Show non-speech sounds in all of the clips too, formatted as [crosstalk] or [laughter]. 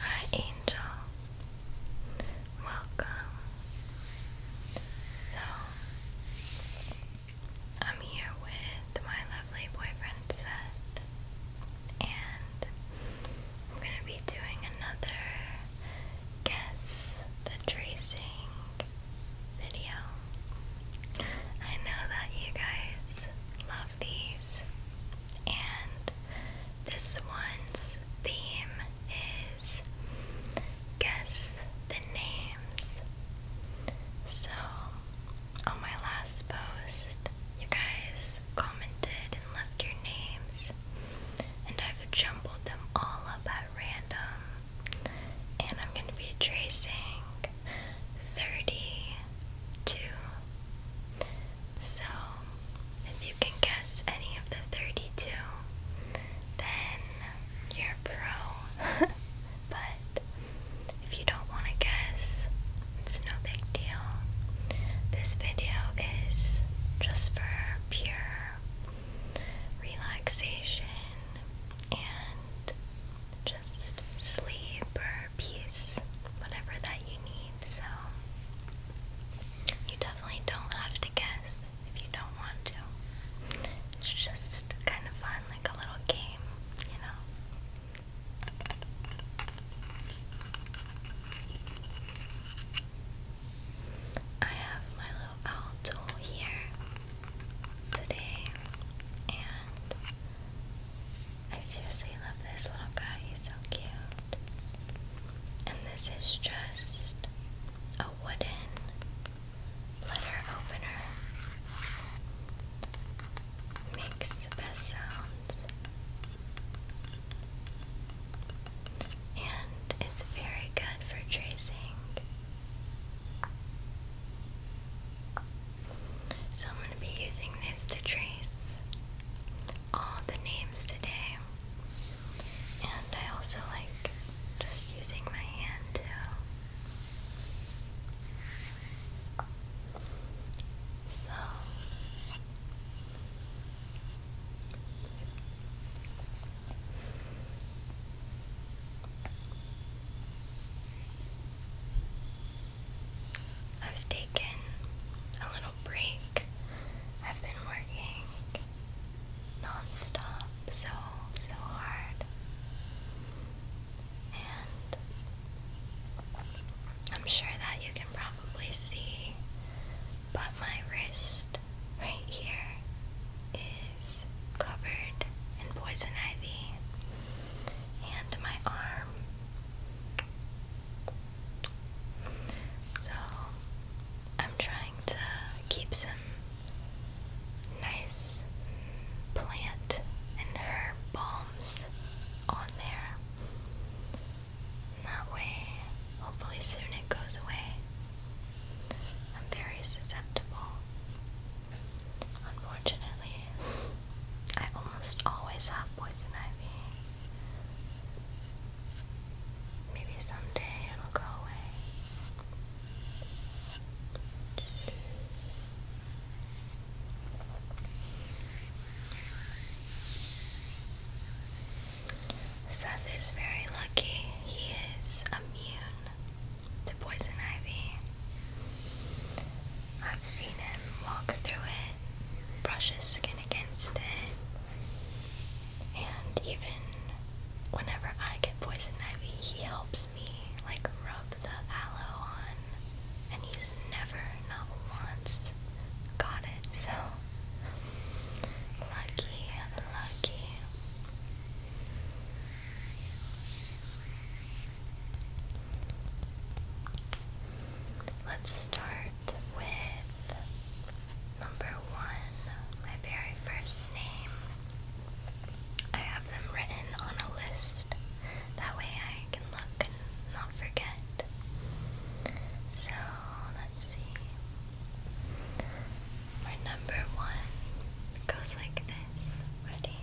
Hi, Angel. Welcome. So, I'm here with my lovely boyfriend Seth, and I'm going to be doing another guess the tracing video. I know that you guys love these, and this one's theme is guess the name so, on my last post, you guys commented and left your names, and I've jumbled them all up at random. And I'm going to be tracing 32. So, if you can guess any of the 32, then you're pro. [laughs] but if you don't want to guess, it's no big deal. This video is just for pure relaxation and just sleep or peace, whatever that you need. So, you definitely don't have to guess if you don't want to. It's just kind of fun, like a little game, you know. I have my little owl tool here today, and I seriously love this little guy, he's so cute. And this is just a wooden letter opener makes the best sounds and it's very good for tracing. So I'm going to be using this to trace all the names today. And I also like just using my hand to so I've taken a little break. I've been working non so, so hard. And I'm sure that you can probably see, but my wrist right here is covered in poison ivy, and my arm. So, I'm trying to keep some nice plant and herb balms on there. that way, hopefully, soon it goes away. I'm very susceptible. Unfortunately, I almost always have poison ivy. Maybe someday it'll go away. Seth is very lucky. He is immune to poison ivy. I've seen him walk through it, brush his skin against it, and even whenever I get poison ivy, he helps me like rub the aloe on, and he's never, not once, got it. So lucky, lucky. Let's start with number one, my very first name. I have them written on a list. That way I can look and not forget. So, let's see. My number one goes like this. Ready?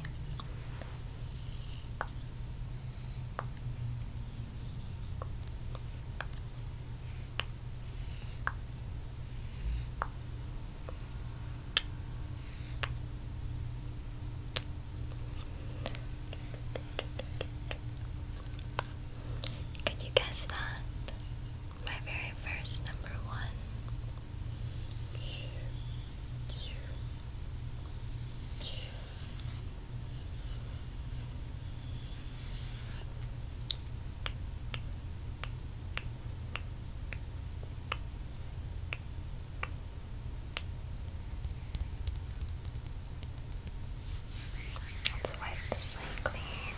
Can you guess that? My very first number one. Good. Let's wipe the slate clean.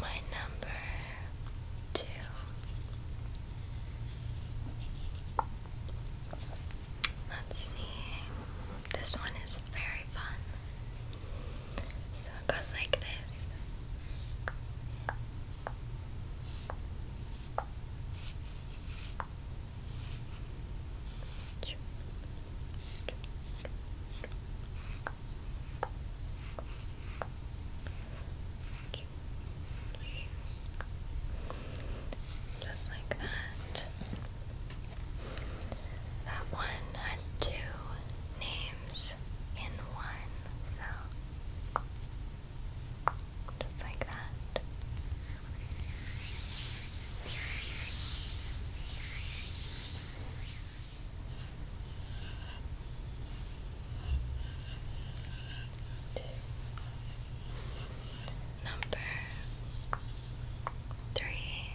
My number two Let's see. This one is very fun. So it goes like this. Just like that. That one had two names in one, so just like that number three.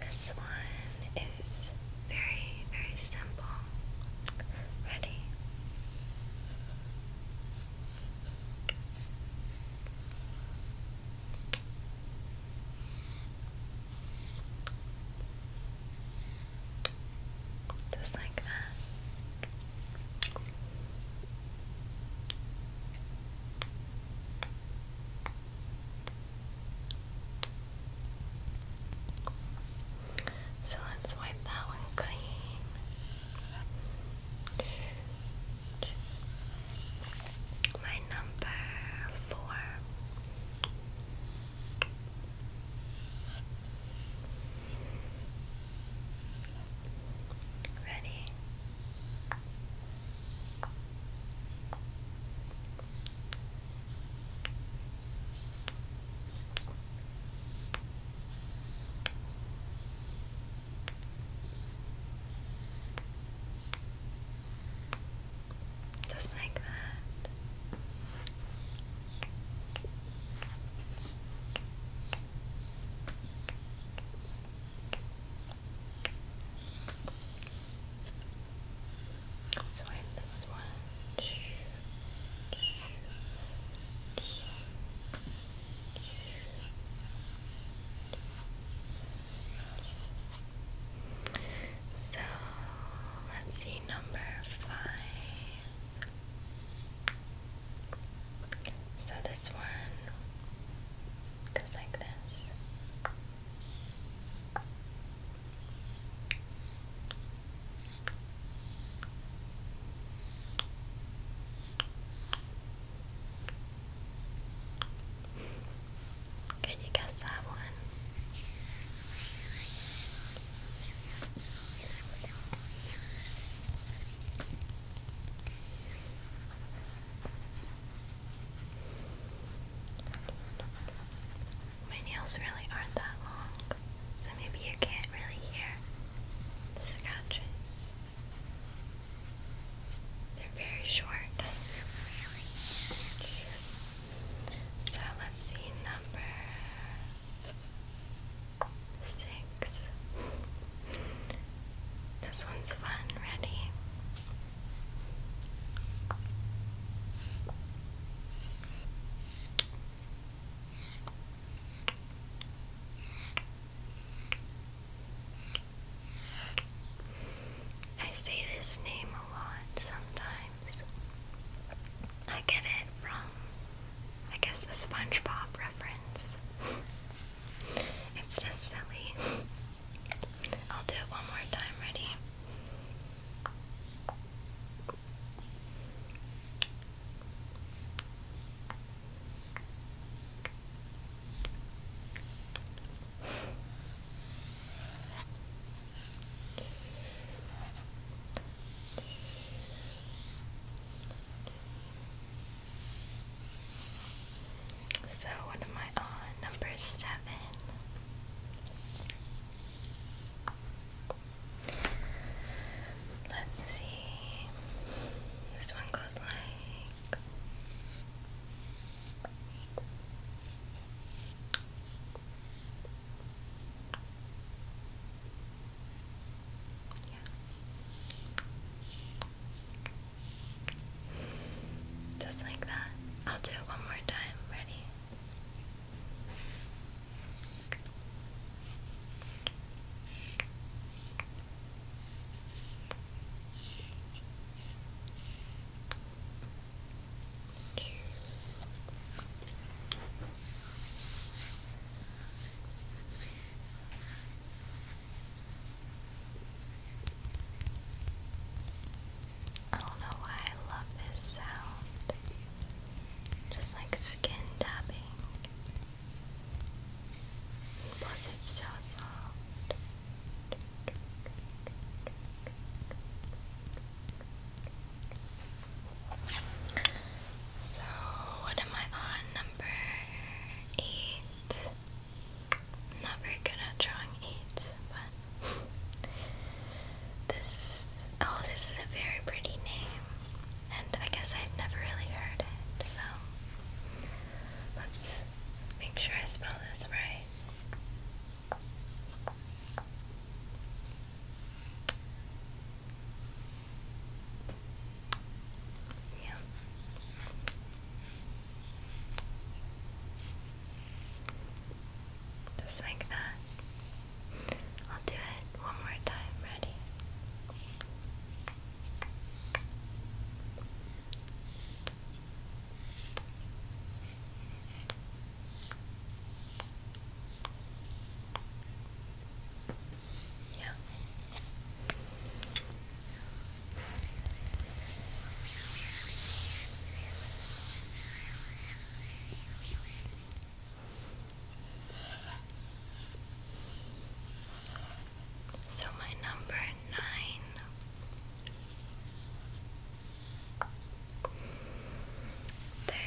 This one is very, very simple. Ready? Just like that. So let's wipe that one clean. My number four. Ready? Just like that. So I have this one. So let's see number five. So this one goes like this. Can you guess that one? My nails really aren't that long, so maybe you can't really hear the scratches. They're very short. So let's see, number six. This one's fun. Ready? I say this name a lot sometimes. I get it from I guess the SpongeBob reference. it's just silly. I'll do it one more time. Ready? So, what am I on? Number seven. Let's see. This one goes like. Yeah. Just like that. I'll do it one more time. Ready? I don't know why I love this sound. Just like skin tapping. Plus, it's so soft. So, what am I on? Number 8 not very good at drawing eights, but [laughs] this. Oh, this is a very pretty name, and I guess I've never really heard it, so let's make sure I spell this right. Yeah. Just like that. I'll do it one more time. Ready? Yeah. So my number nine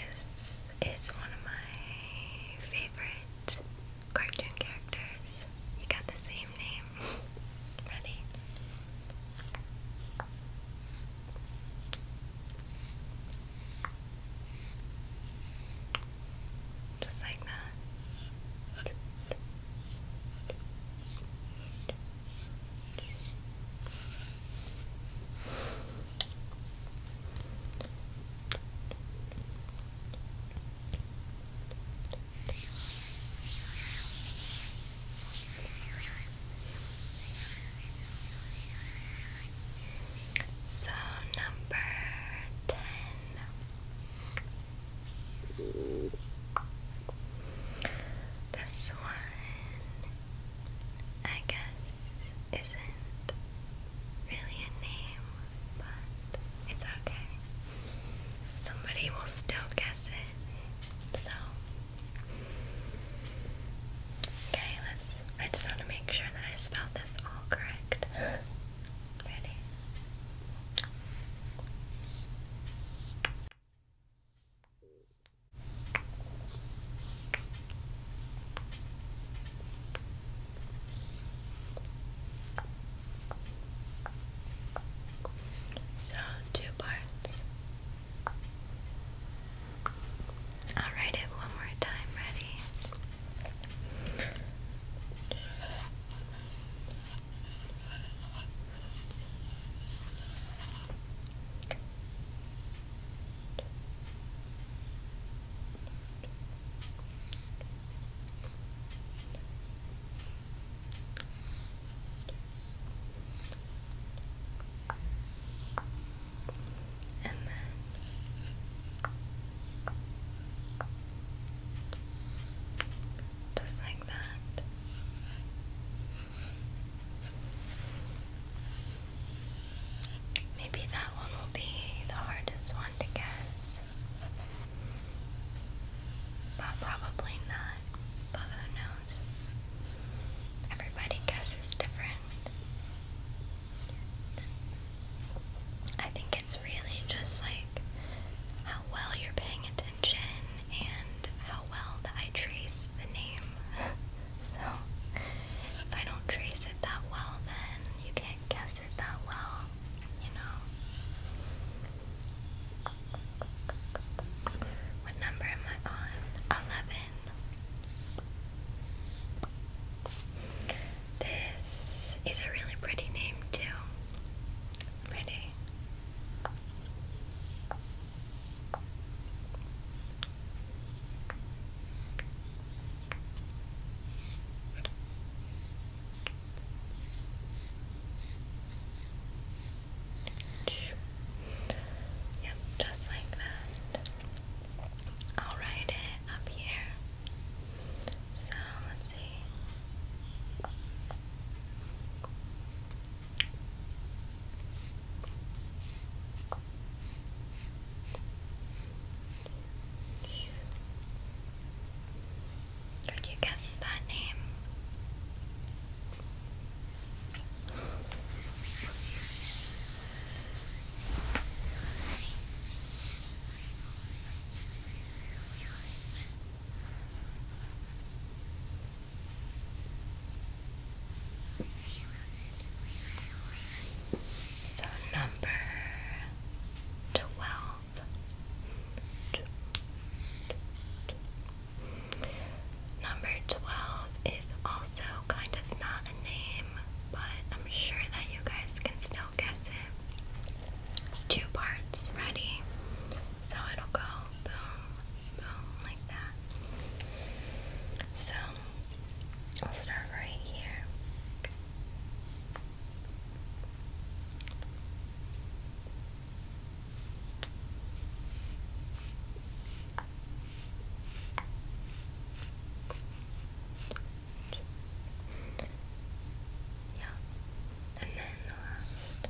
this is one of my favorite cartoon characters. You got the same name. [laughs] Ready? Just like that. So, number ten. This one, I guess, isn't really a name, but it's okay. Somebody will still guess it. So Okay, let's I just want to make sure that I spell this all correct. [gasps] Ready? So, two parts. I'll write it one more time. Ready? And then just like that. Maybe that one will be the hardest one to guess. But probably not. who knows? Everybody guesses different. I think it's really just like how well you're paying attention and how well I trace the name. [laughs] so if I don't trace it that well, then you can't guess does it that well, you know. What number am I on? 11. This is a really pretty name, too. Pretty. Yep, just like that. I'll write it up here. So let's see. Could you guess that name? [laughs] So number twelve. Number twelve is also kind of not a name, but I'm sure that you guys can still guess it. It's two parts, ready? So it'll go boom, boom, like that. So I'll start right here. Yeah, and then the uh, last.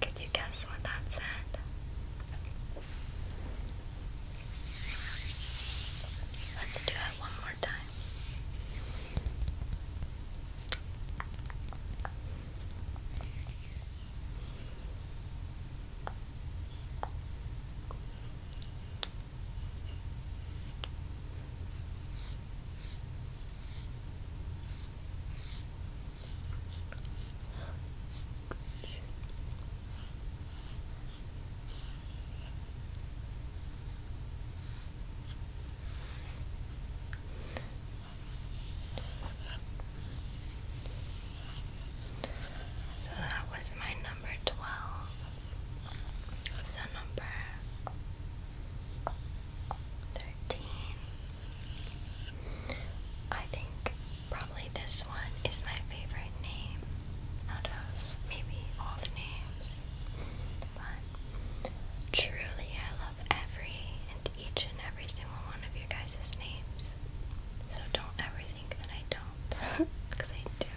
Can you guess what that said? Let's do it one more time. So that was my number 12. So number 13 I think probably this one is my favorite name out of maybe all the names. But truly, I love every and each and every single one of your guys' names. So don't ever think that I don't, because [laughs] I do.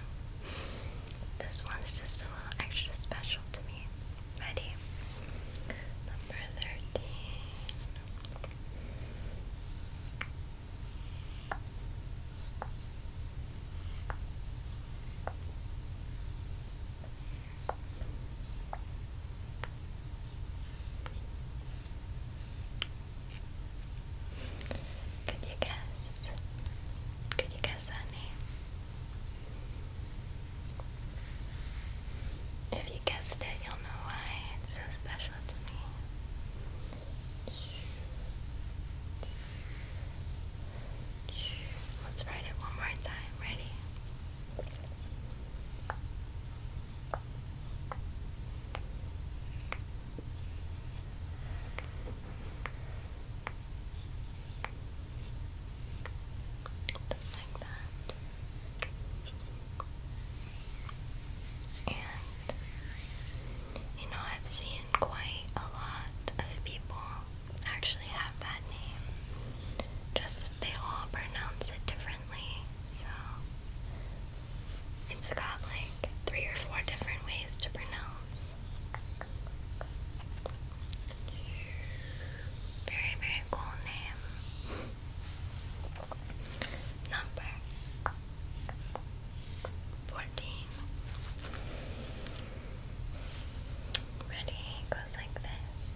This one's just a little extra special to me. Ready? Number 13. Could you guess? Could you guess that name? If you guessed it, you'll know why it's so special to me. Let's write it one more time. Ready? Just like that. And, you know, I've seen quite a lot of people actually have that name. Just they all pronounce it differently. So, it's got like three or four different ways to pronounce. Very, very cool name. Number fourteen. Ready? goes like this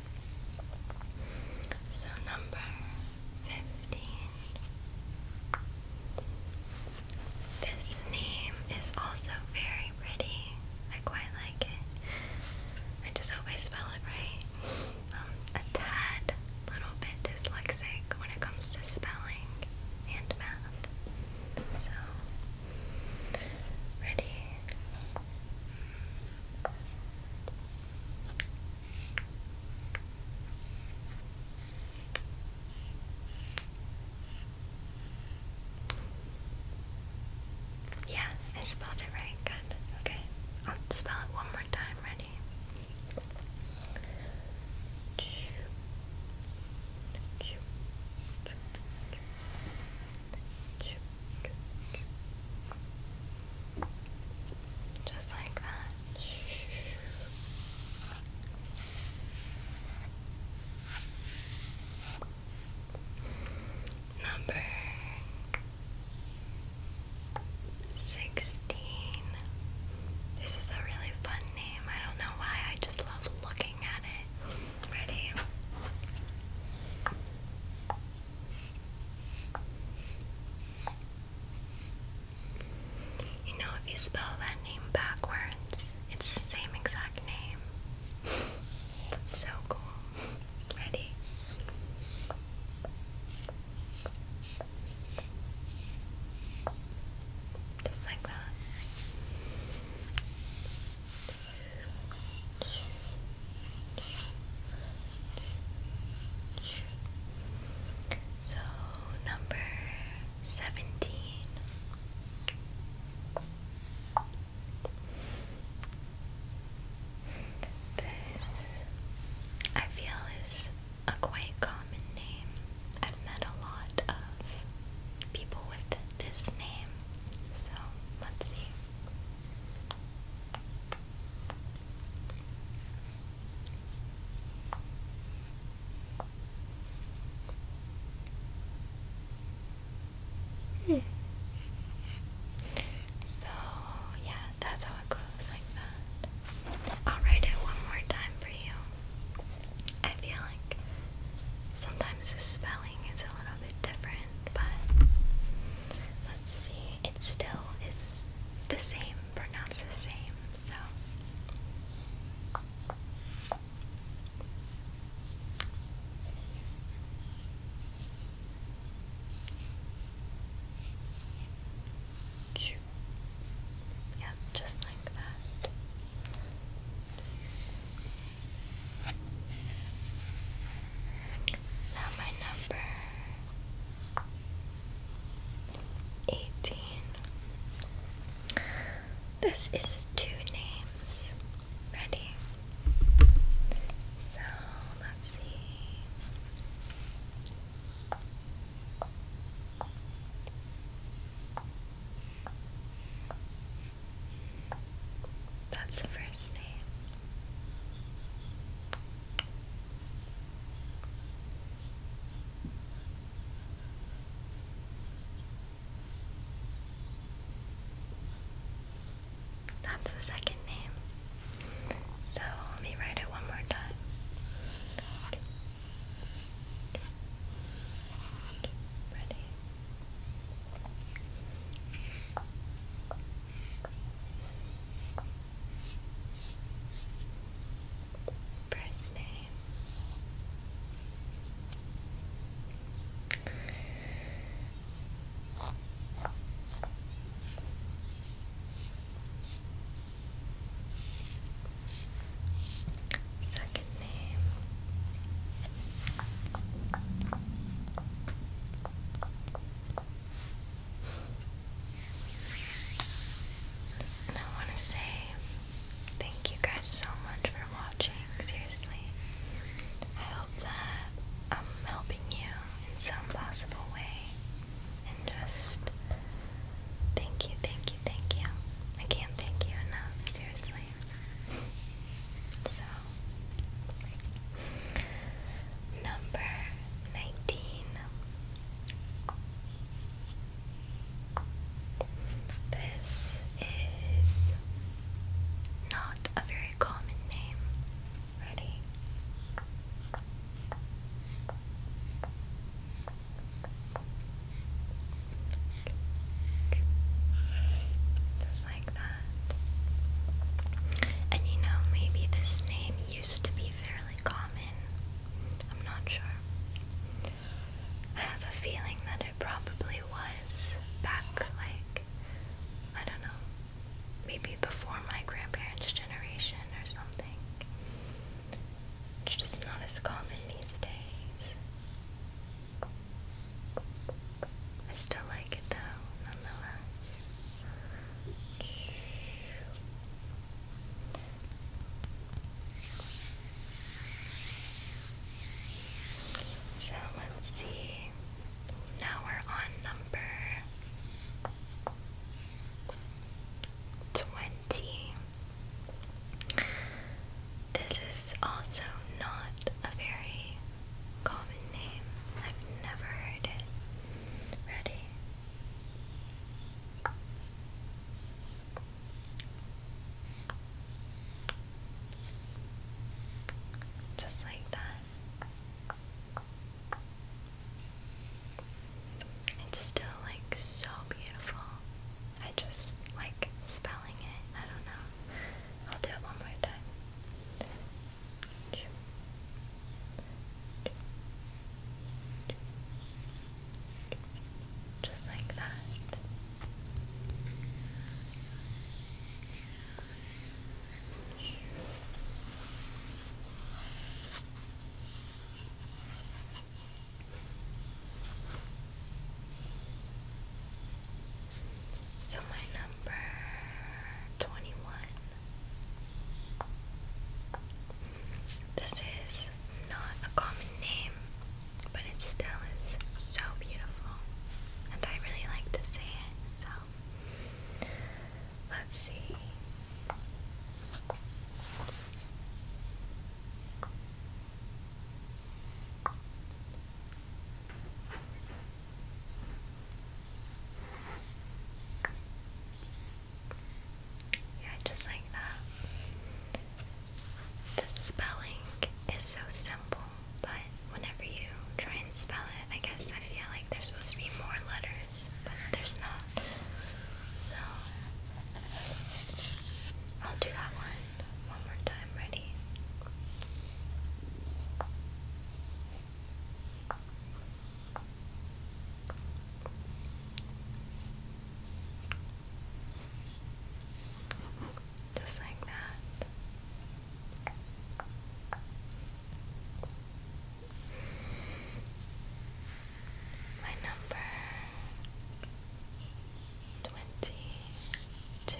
So, number 15. This name is also very pretty. I quite like it. I just hope I spell it right. I'm um, a tad little bit dyslexic when it comes to spelling and math. So, ready? Yeah, I spelled it right. Good. Okay. I'll spell it one more time. Ready? Just like that. Number sixteen. This is a really fun name. I don't know why, I just love looking at it. Ready? You know, if you spell that name backwards, it's the same exact name. That's so cool. Ready? Just like that. So, number 17. This, I feel, is a quite common name. I've met a lot of people with this name. So, let's see. Hmm. So, yeah, that's how it goes like that. I'll write it one more time for you. I feel like sometimes the spelling it's a little bit different, but let's see. It still is the same, pronounced the same, so. Yep, just like that. Now my number eighteen. This is two names. Ready? So let's see. That's the first name. That's the second name. So let me write it one more time. Ready? First name. Second name. And I want to say thank you guys so much for watching. Seriously, I hope that I'm helping you in some possible way. And just thank you, thank you, thank you. I can't thank you enough, seriously. So, number nineteen. This is not a very common name. Ready? things like that. And you know, maybe this name used to be fairly common. I'm not sure. I have a feeling that it probably was back, like, I don't know, maybe before my grandparents' generation or something. It's just not as common these days. I still like it though, nonetheless. So let's see. Now we're on number 20. This is also not a very common name. I've never heard it. Ready? Just like that. It's still like so beautiful. I just like spelling it. I don't know. I'll do it one more time. Just like that. So my number twenty one. This is not a common name, but it still is so beautiful. And I really like to say it, so let's see. Yeah, just like that. The spelling is so simple, but whenever you try and spell it, I guess I feel like there's supposed to be more letters, but there's not. So I'll do that one one more time. Ready? Just like that. My number twenty two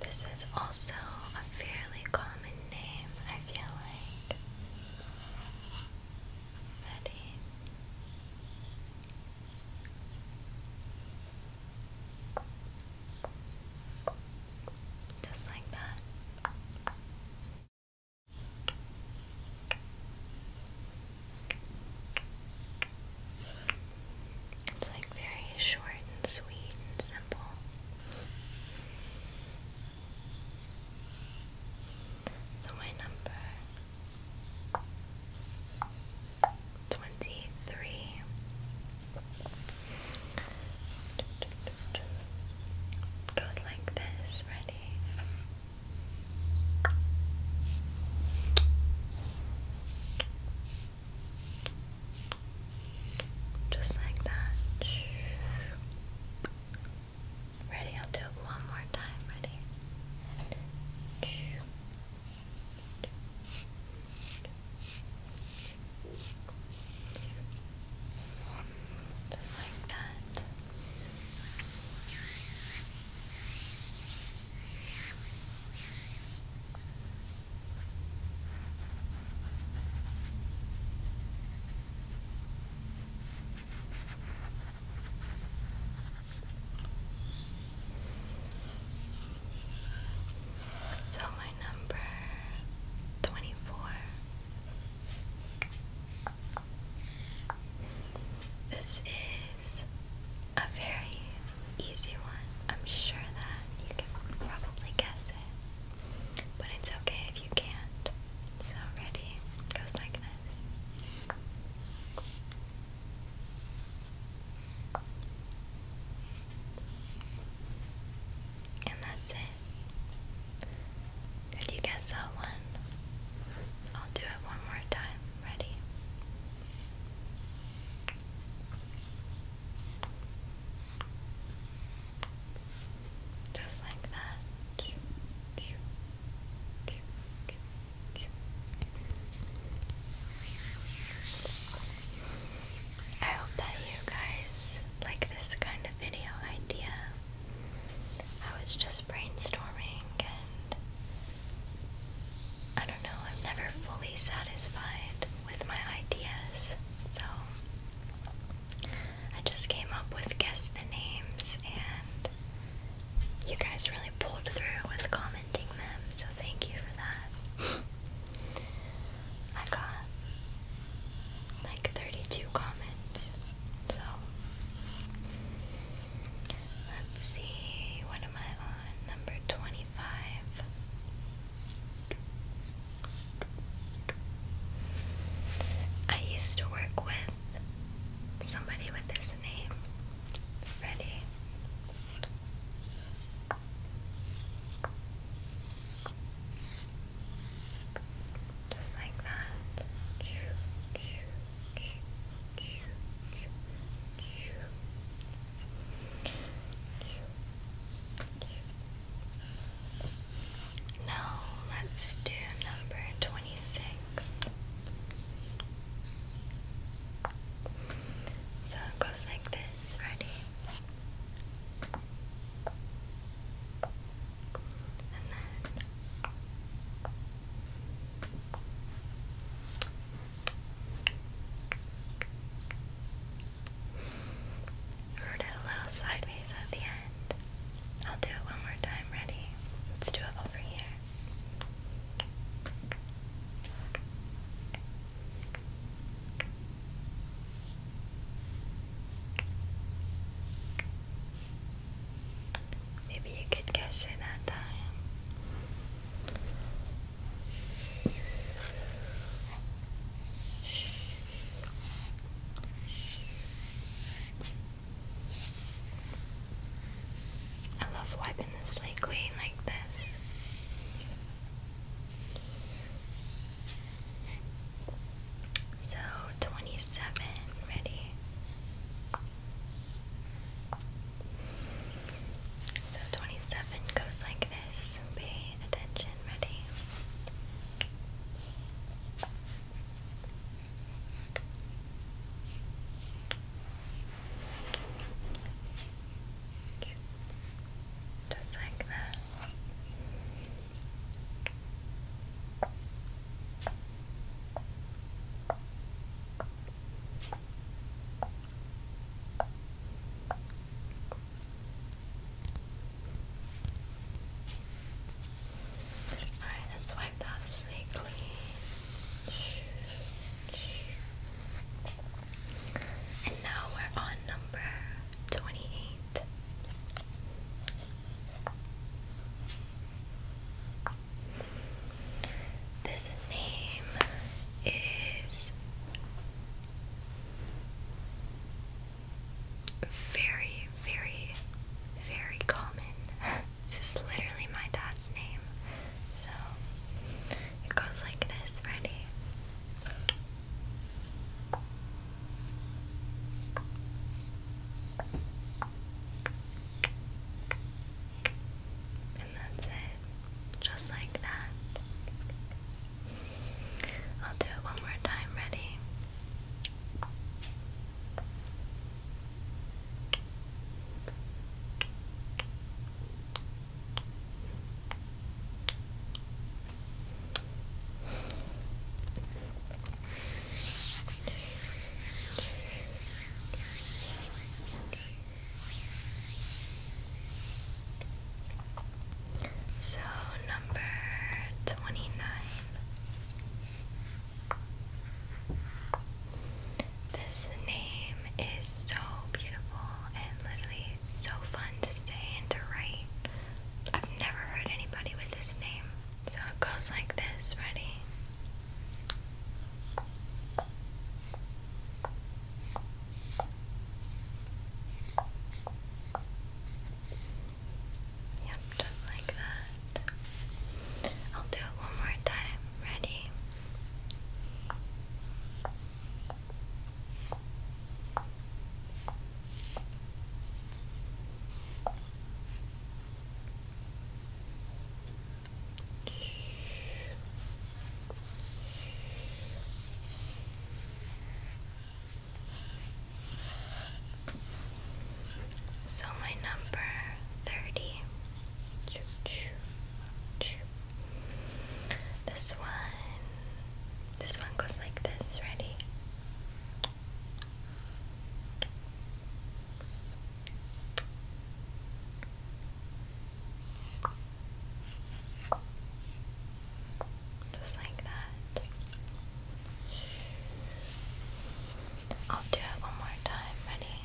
this is also a fairly common name, I feel like. Ready? Just like that. It's like very short and sweet and simple. So, my number 23 goes like this. Ready? Just like that. Ready? I'll do it one more time. Ready? Just like that. So, my number twenty four. This is a very easy one. I'm sure that you can probably guess it. But it's okay if you can't. So, ready? goes like this. And that's it. Could you guess that one? I'll do it one more time. Ready? Just like that. I hope that you guys like this kind of video idea. I was just brainstorming and I don't know, I'm never fully satisfied with my ideas, so I just came up with guess the names, and you guys really pulled through with commenting them, so thank you for that. [laughs] I got like 32 comments, so Let's see, what am I on? Number 25. I used to work with somebody with this name. Ready? Just like that. Now let's do number twenty six. So it goes like this, ready? We're a little sideways at the end. I'll do it one more time. Ready? Let's do it over here. Maybe you could guess it that time. I love wiping the slate clean like this. So twenty seven, ready? So 27 goes like this. Pay attention, ready? Just like that. Alright, let's wipe that snake clean. And now we're on number 28. This name is very, very, very common. [laughs] this is literally my dad's name. So it goes like this, ready? And that's it. Just like that. I'll do it one more time. Ready? So, number 29. This name is so beautiful and literally so fun to say and to write. I've never heard anybody with this name. So it goes like this, ready? Yep, just like that. I'll do it one more time. Ready? So, my number thirty. This one, this one goes like this. Ready? Just like that. I'll do it one more time. Ready?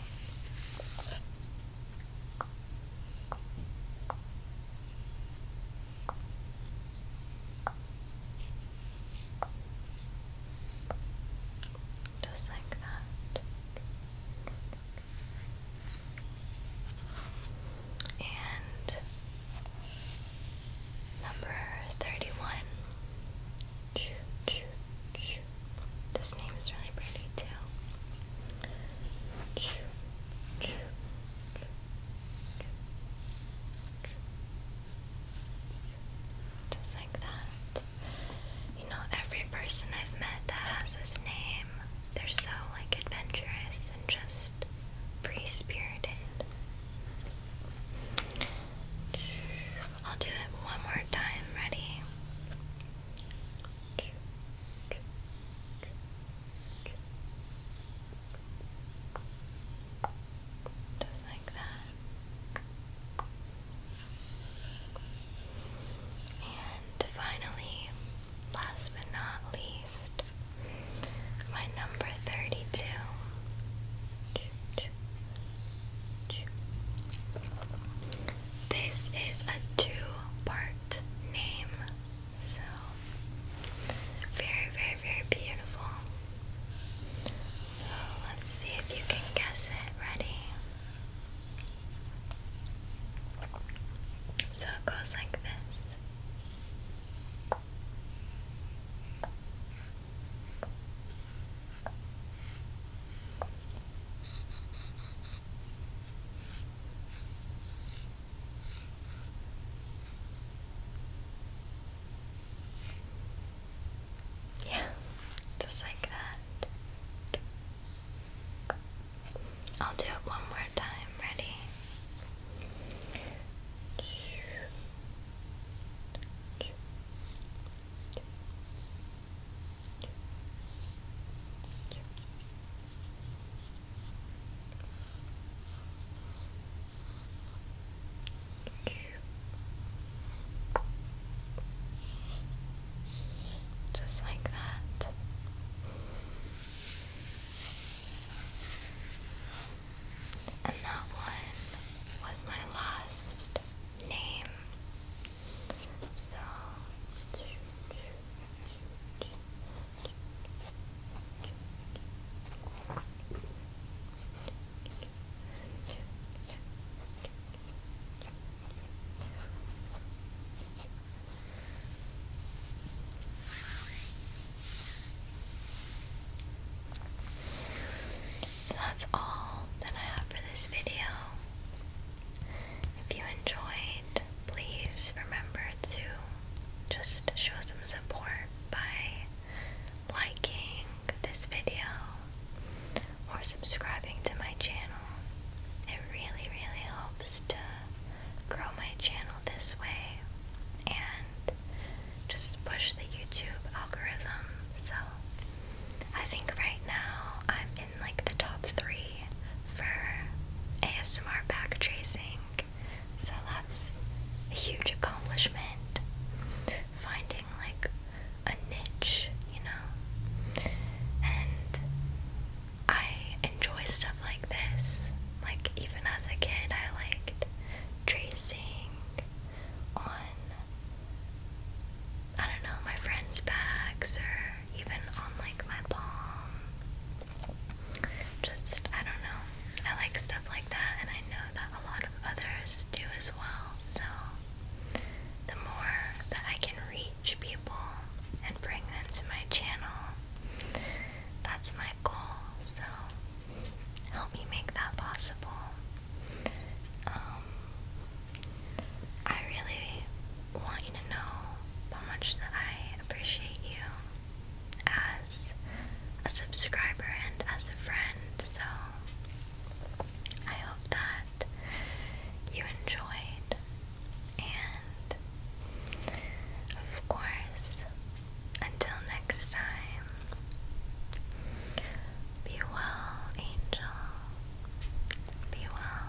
Just like that. And number 31. This name is really pretty too. Just like that. You know, every person I've met that has this name, they're so like adventurous and just free spirited. I'll do it one more time. Ready? Just like that. And finally, last but not least, my number 32. This is a two part name, so very, very, very beautiful. So let's see if you can guess it. Ready? So it goes like this. Yeah, just like that. I'll do it one more time. Ready? Just like that. And that one was my last name. So. So that's all that I have for this video. If you enjoyed, please remember to just show some support by liking this video or subscribing to my channel. It really, really helps to grow my channel this way and just push the YouTube algorithm. So I think right now I'm in like the top three for ASMR back tracing. So that's a huge accomplishment. Finding like a niche, you know? And I enjoy stuff like this. Like, even as a kid, I liked tracing on, I don't know, my friends' bags or even on like my palm. Just, I don't know. I like stuff like that, and I know that a lot of others do as well. So, the more that I can read teach people and bring them to my channel. That's my goal, so help me make that possible. Um, I really want you to know how much that I appreciate you as a subscriber and as a friend, so I hope that you enjoyed, and of course, until next time, be well, angel, be well.